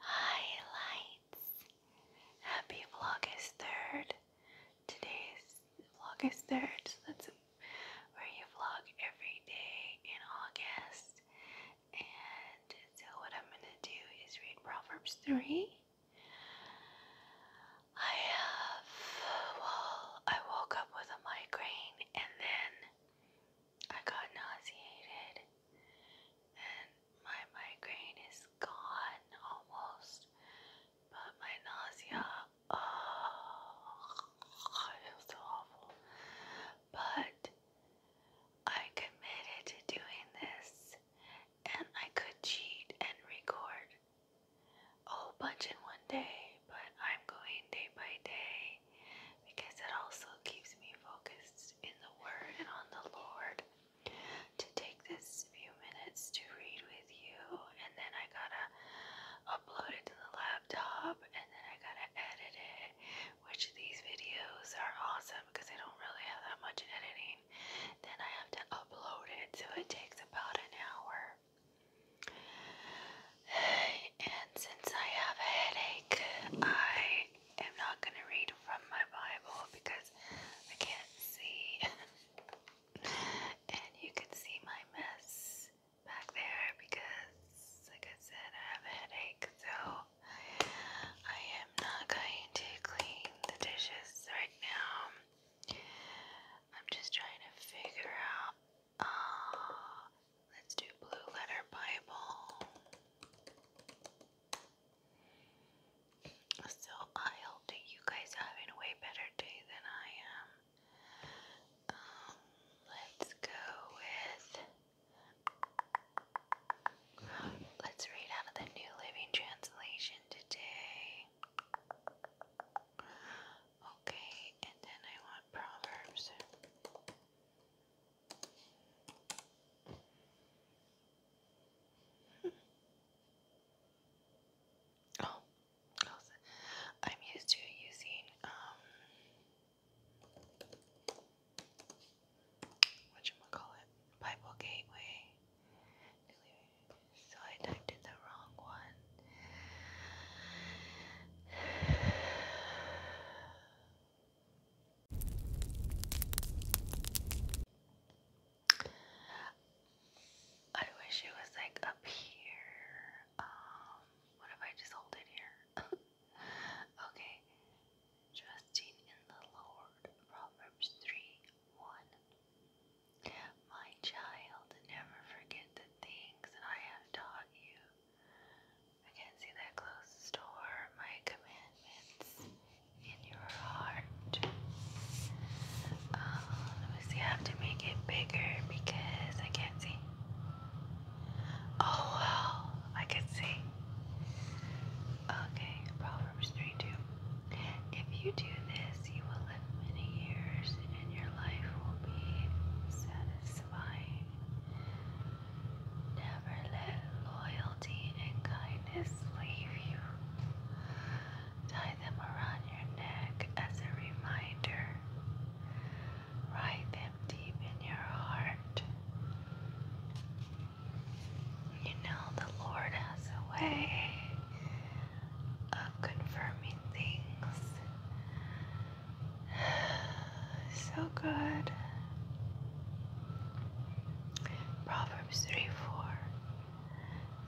Hi lights! Happy Vlogmas 3rd! Today's August 3rd, that's where you vlog every day in August. And so what I'm gonna do is read Proverbs 3. I have, well, I woke up with a migraine and then I got nauseated and my migraine is gone almost, but my nausea, oh, I feels so awful. But I committed to doing this and I could cheat and record a whole bunch in one day, but I'm going day by day because it also keeps me focused in the Word and on the Lord to take this few minutes to read with you, and then I gotta upload it to the laptop, and then I gotta edit it. Which these videos are awesome because I don't really have that much editing. Then I have to upload it, so it takes about an hour. And since I have a headache, I i am not going to read from my Bible because I can't see. and you can see my mess back there because, like I said, I have a headache, so I am not going to clean the dishes right now. I'm just trying to figure out. Uh, let's do Blue Letter Bible. So I hope that you guys are having a way better day than I am. Um, let's go with. Let's read out of the New Living Translation today. Okay, and then I want Proverbs. Oh, also, I'm used to using um whatchamacallit, Bible Gateway. So I typed in the wrong one. I wish it was like up here. Um, what if I just hold it here? okay. Trusting in the Lord. Proverbs 3 1. My child, never forget the things that I have taught you, Against the closed door, my commandments in your heart. Um, let me see, I have to make it bigger because I can't see. Oh, wow, I can see. Okay, Proverbs 3 2. If you do this, you will live many years and your life will be satisfying. Never let loyalty and kindness leave you. Tie them around your neck as a reminder. Write them deep in your heart. You know, the Lord has a way of confirming things. so good. Proverbs 3 4.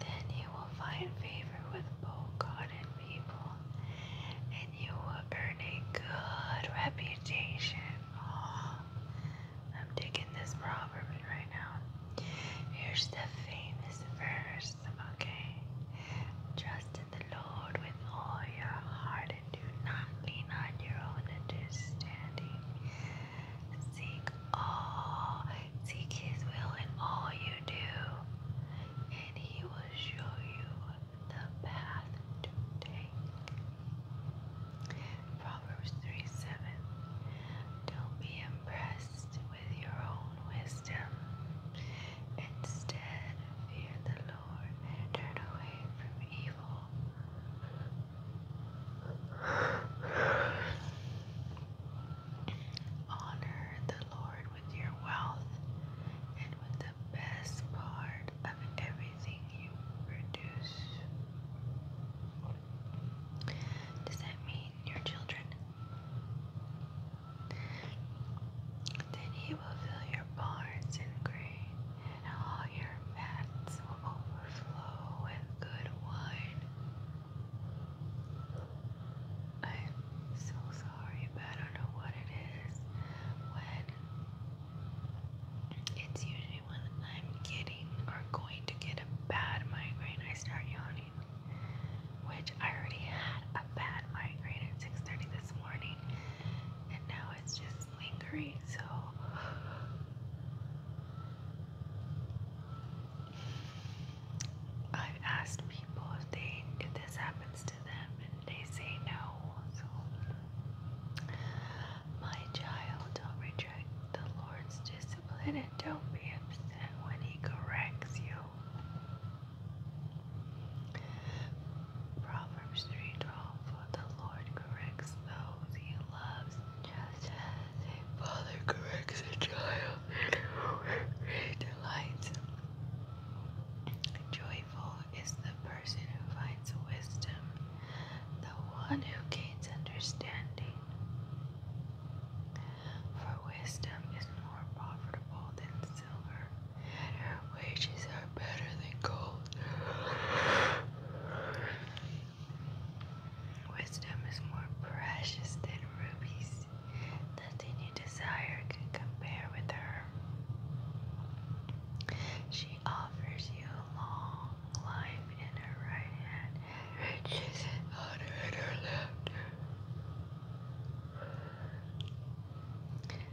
Then you will find favor with both God and people, and you will earn a good reputation. Oh, I'm digging this proverb right now. Here's the famous verse, okay? Trust in the Lord with all your heart do not lean on your own understanding. Seek all, seek His will in all you do, and He will show you the path to take. Proverbs 3 7. Don't be impressed with your own wisdom. Instead, fear the Lord and turn away from evil. Honor the Lord with your wealth and with the best part of everything you produce. Does that mean your children? Then he will fill your barns and grain, and all your vats will overflow with good wine. I'm so sorry, but I don't know what it is when it's usually when I'm getting or going to get a bad migraine, I start yawning. Which I already had a bad migraine at 6:30 this morning, and now it's just lingering, so I've asked people if this happens to them and they say no. So my child, don't reject the Lord's discipline and don't be upset when he corrects you. Proverbs 3:12 For the Lord corrects the he loves just as a father corrects a child he delights. Joyful is the person who finds wisdom, the one who gains understanding. For wisdom is more profitable than silver, her wages are better than gold. Wisdom is more precious than rubies. Nothing you desire can compare with her. She offers you a long life in her right hand, riches and honor her left.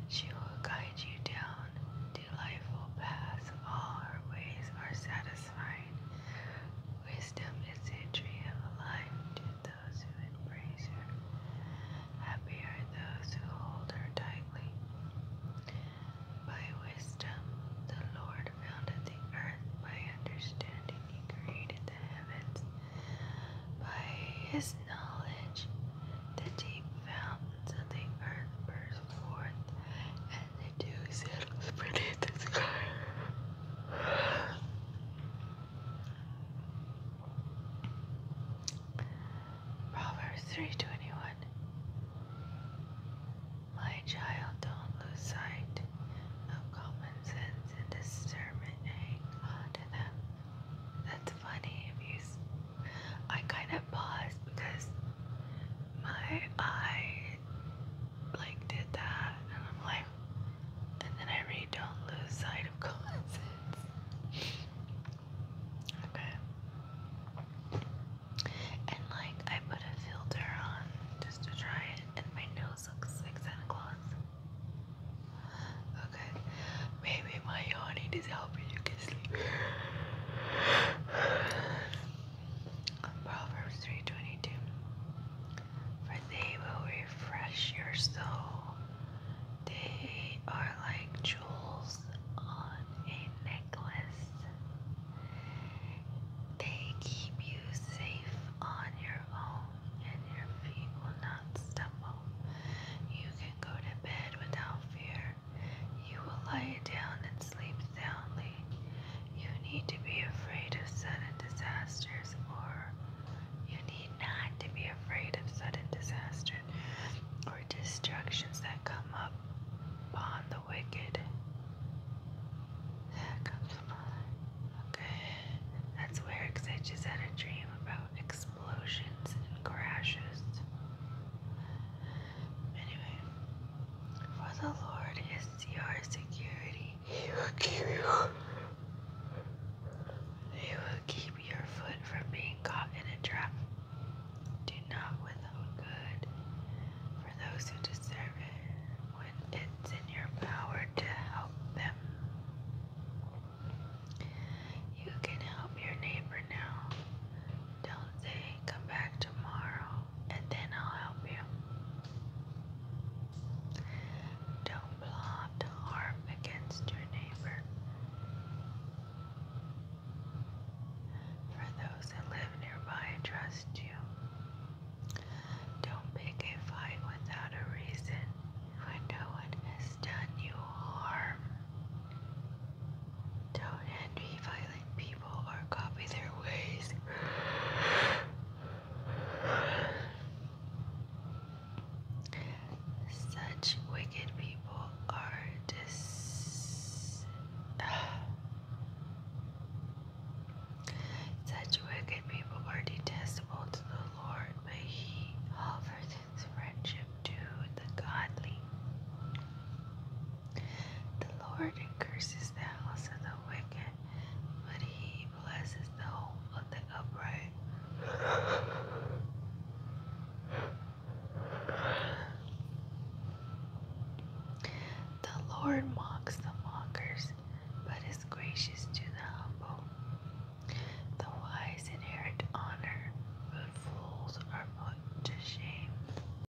She will guide you down delightful paths, all her ways are satisfying. Wisdom is the tree of life to those who embrace her. Happy are those who hold her tightly. By wisdom the Lord founded the earth, by understanding he created the heavens. By his knowledge the deep fountains so the earth burst forth and the dew settles beneath the sky. Proverbs 3:21 My child, don't lose sight of common sense and discernment. Hang on to them. That's funny if I kind of paused because my eye like did that, and I'm like, and then I read, don't lose sight of common okay. And like, I put a filter on just to try it, and my nose looks like Santa Claus. Okay, maybe my yawning is out. Proverbs 3:22. For they will refresh your soul. They are like jewels on a necklace. They keep you safe on your own, and your feet will not stumble. You can go to bed without fear, you will lie down and sleep soundly. You need to be afraid of sudden disasters, or you need not to be afraid of sudden disasters or destructions that come up upon the wicked. That comes upon. Okay, that's weird because I just had a dream about explosions and crashes. Anyway, for the Lord is your security. He will keep you. He will keep your foot from being caught in a trap. Do not withhold good for those who deserve it when it's in your power to help them. You can help your neighbor now till they come back tomorrow and then I'll help you. Don't plot harm against your neighbor. For those that live nearby, trust you. Don't pick a fight without a reason when no one has done you harm. Don't envy violent people or copy their ways. Such wicked people are dis. Such wicked people are detestable to the Lord, but He offers His friendship to the godly. The Lord curses the house of the wicked, but he blesses the home of the upright. The Lord mocks the mockers, but is gracious to the humble. The wise inherit honor, but fools are put to shame.